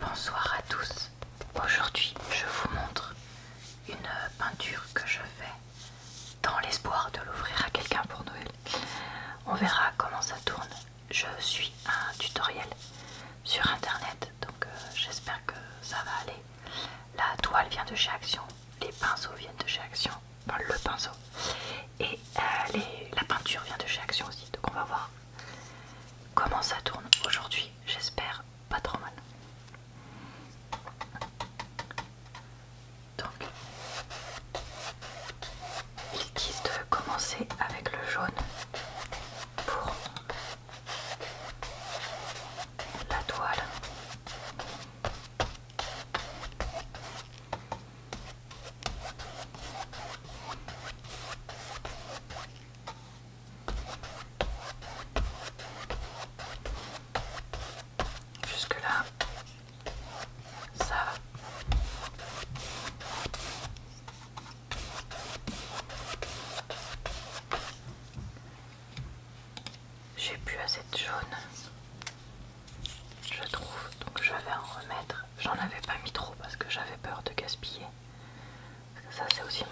Bonsoir à tous. Aujourd'hui, je vous montre une peinture que je fais dans l'espoir de l'ouvrir à quelqu'un pour Noël. On verra comment ça tourne. Je suis un tutoriel sur internet, donc euh, j'espère que ça va aller. La toile vient de chez Action, les pinceaux viennent de chez Action, le pinceau, et euh, la peinture vient de chez Action aussi, donc on va voir comment ça tourne aujourd'hui. J'espère pas trop mal. Donc, il quitte de commencer avec le jaune pour la toile. Jusque là, ça va. J'ai plus assez de jaune, je trouve, donc je vais en remettre. J'en avais pas mis trop parce que j'avais peur de gaspiller ça c'est aussi mon,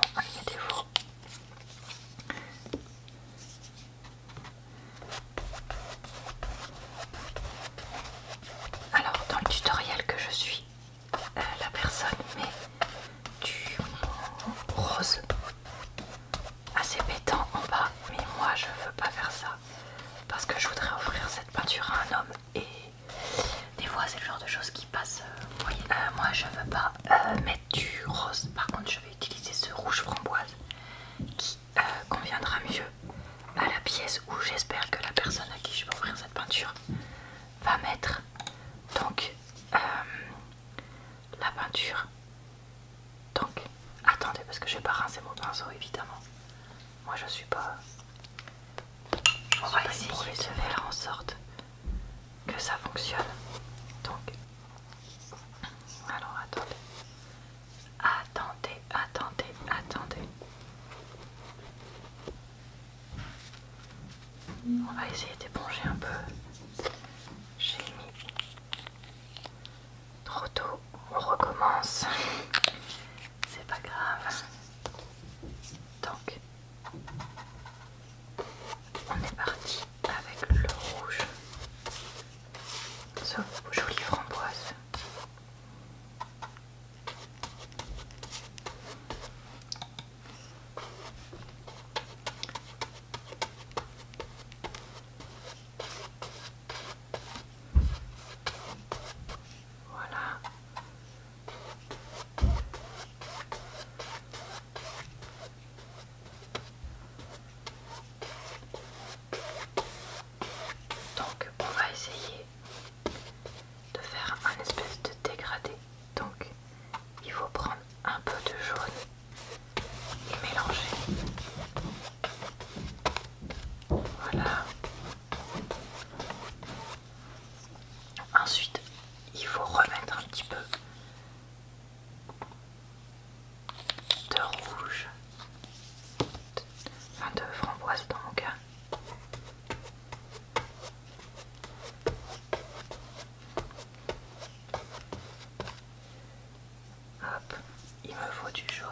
Alors dans le tutoriel que je suis, euh, la personne met du rose assez pétant en bas, mais moi je veux pas faire ça parce que je voudrais offrir cette peinture à un homme et des fois c'est le genre de choses qui passent euh, euh, moi je ne veux pas euh, mettre du rose par contre je vais utiliser ce rouge framboise qui conviendra mieux à la pièce où j'espère que la personne à qui je vais offrir cette peinture va mettre donc la peinture donc attendez parce que je vais pas rincer mon pinceau évidemment moi je suis pas on va essayer de faire en sorte que ça fonctionne. Donc, alors attendez. Attendez, attendez, attendez. On va essayer d'éponger un peu. J'ai mis trop tôt. On recommence c'est pas grave. Donc, on est parti avec le rouge, ce joli framboise. Voilà. Donc on va essayer de faire un espèce de dégradé. Donc il faut prendre un peu de jaune et mélanger. Voilà. Ensuite, il faut remettre un petit peu de rouge, enfin de framboise dans mon cas. Hop, il me faut du jaune.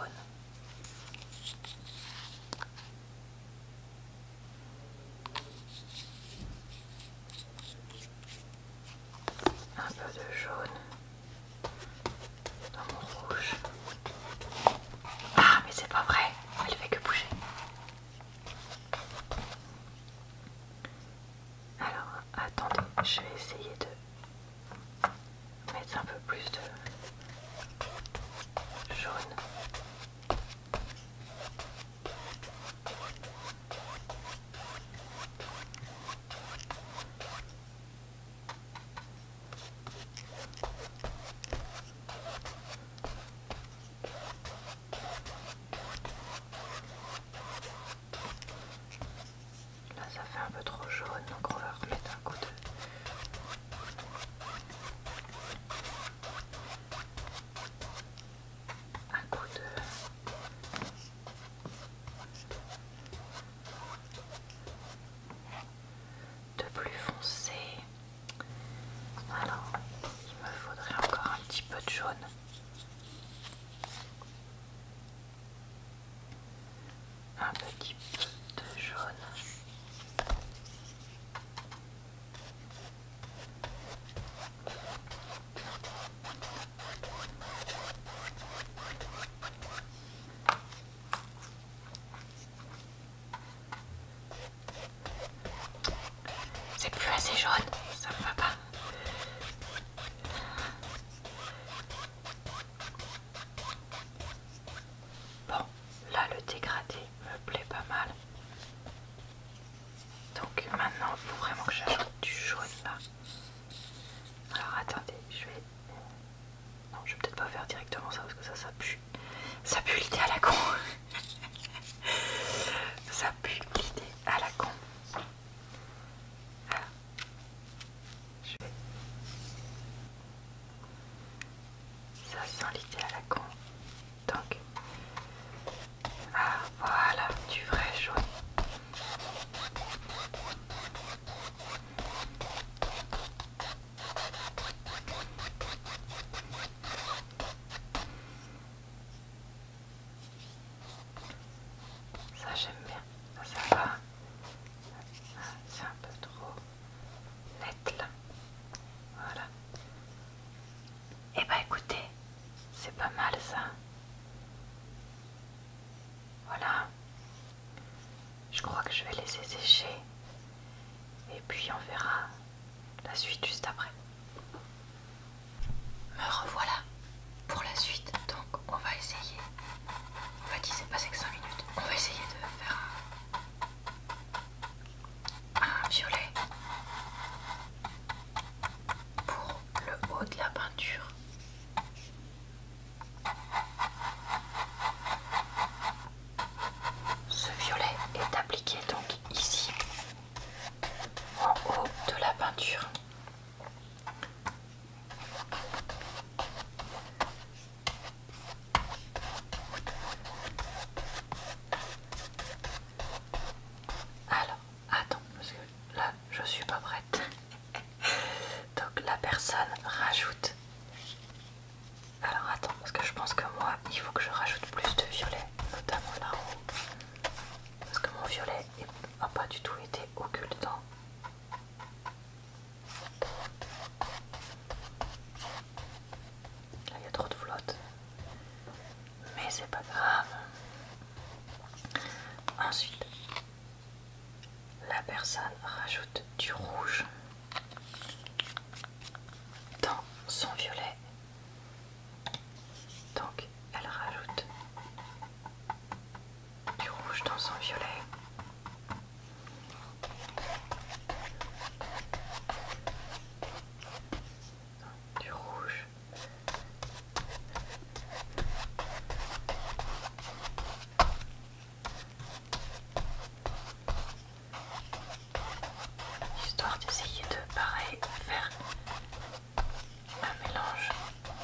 Un peu de jaune dans mon rouge. Ah, mais c'est pas vrai, elle fait que bouger. Alors, attendez, je vais essayer de mettre un peu plus de jaune. Là ça fait un peu trop jaune donc on va remettre un coup de un coup de... plus foncé. Alors, il me faudrait encore un petit peu de jaune un petit peu de jaune. C'est plus assez jaune, ça me va pas. Bon, là le dégradé me plaît pas mal. Donc maintenant, il faut vraiment que j'ajoute du jaune là. Alors attendez, je vais... Non, je vais peut-être pas faire directement ça parce que ça, pue. Ça pue l'idée à la con. ça pue l'idée à la con. Ça sent l'idée à la con. Donc, ah voilà, du vrai jaune. Ça j'aime bien ça va. C'est un peu trop net là. Voilà. Et bah ben, écoutez, c'est pas mal ça. Voilà. Je crois que je vais laisser sécher. Et puis on verra la suite juste après. Me revoilà pour la suite. Donc on va essayer. On va passé que 5 minutes. On va essayer de faire un, un violet pour le haut de la peinture. Ce violet est appliqué donc ici en haut de la peinture alors, attends, parce que là, je suis pas prête. Donc la personne rajoute. Alors attends, parce que je pense que moi, il faut que je rajoute plus de violet, notamment là-haut. Parce que mon violet n'a pas du tout été occultant il y a trop de flotte. Mais c'est pas grave. Ensuite, la personne rajoute du rouge dans son violet. Donc, elle rajoute du rouge dans son violet. Du rouge. Histoire d'essayer de pareil faire un mélange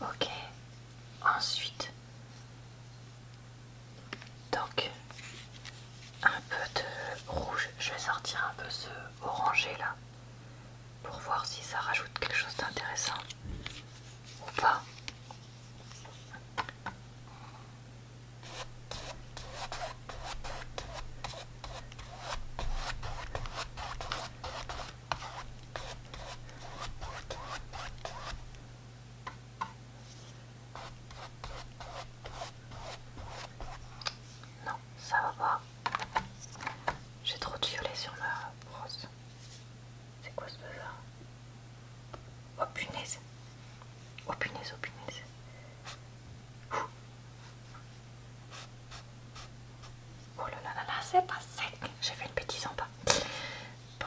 Ok, ensuite, donc un peu de rouge, je vais sortir un peu ce orangé là pour voir si ça rajoute quelque chose d'intéressant ou pas. Non, ça va pas. J'ai trop de violet sur ma brosse. C'est quoi ce bazar Oh punaise Oh punaise, oh punaise. Oh là là là là, c'est pas sec. J'ai fait une bêtise en bas. Bon.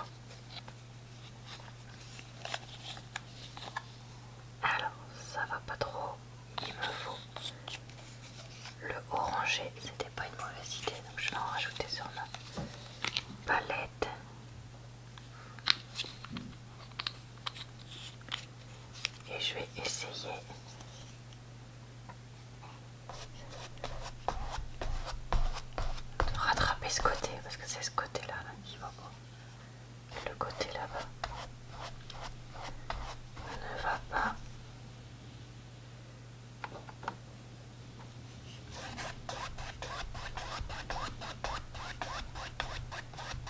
Alors, ça va pas trop. Il me faut le orangé. C'était pas une mauvaise idée, donc je vais en rajouter sur ma palette. Et je vais essayer de rattraper ce côté, parce que c'est ce côté-là qui va pas. le côté là-bas ne va pas.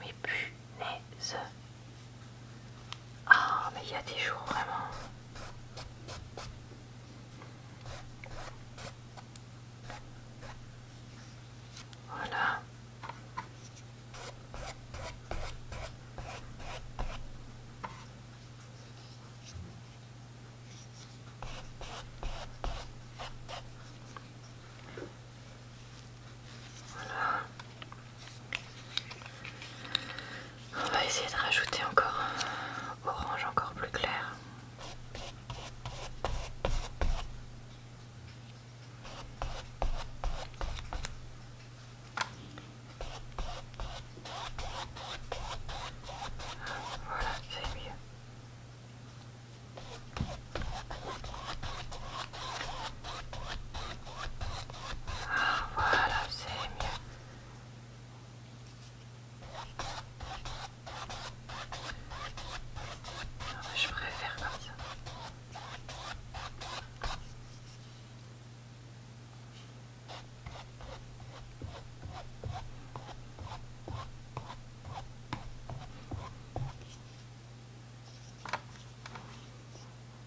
Mes punaise ah, mais il y a des jours vraiment. Voilà. Voilà. On va essayer de rajouter encore orange encore plus clair. Ah, voilà, c'est mieux. je préfère comme ça.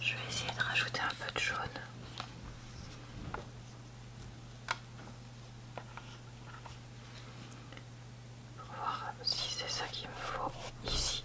je vais essayer de rajouter un peu de jaune. voir si c'est ça qu'il me faut ici.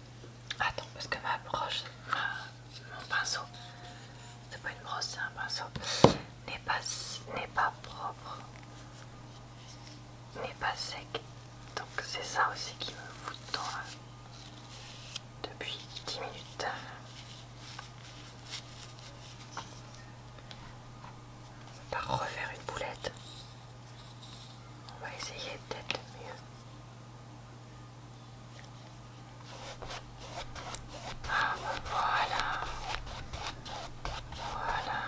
Attends, parce que ma broche, mon pinceau, c'est pas une brosse, c'est un pinceau, n'est pas, pas propre, n'est pas sec. Donc c'est ça aussi qui me fout dedans depuis 10 minutes. On va pas refaire une boulette. On va essayer d'être le mieux voilà. Voilà.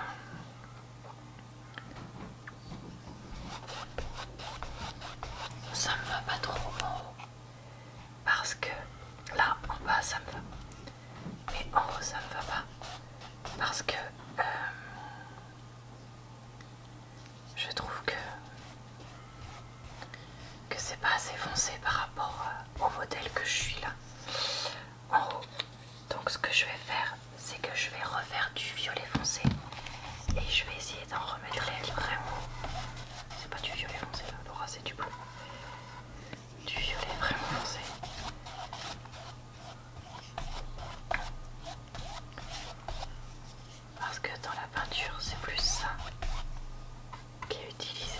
Ça me va pas trop en haut. Parce que là, en bas, ça me va. Mais en haut, ça me va pas. Parce que... Euh, je trouve que, que c'est pas assez foncé par rapport euh, au modèle que je suis là en haut. Donc ce que je vais faire, c'est que je vais refaire du violet foncé et je vais essayer d'en remettre les vraiment. C'est pas du violet foncé là, Laura, c'est du bleu. Du violet vraiment foncé parce que dans la peinture c'est plus ça qui est utilisé.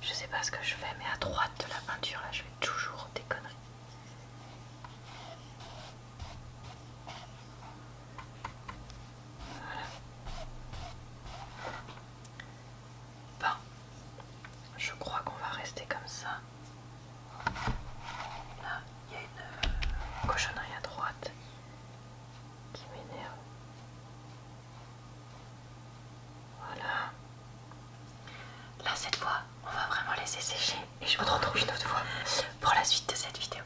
Je sais pas ce que je fais, mais à droite de la peinture, là, je vais toujours des conneries. Voilà. Bon, je crois qu'on va rester comme ça. Là, il y a une euh, cochonnerie à droite qui m'énerve. Voilà. Là, cette fois, on va vraiment laisser sécher et je vous retrouve une autre fois pour la suite de cette vidéo.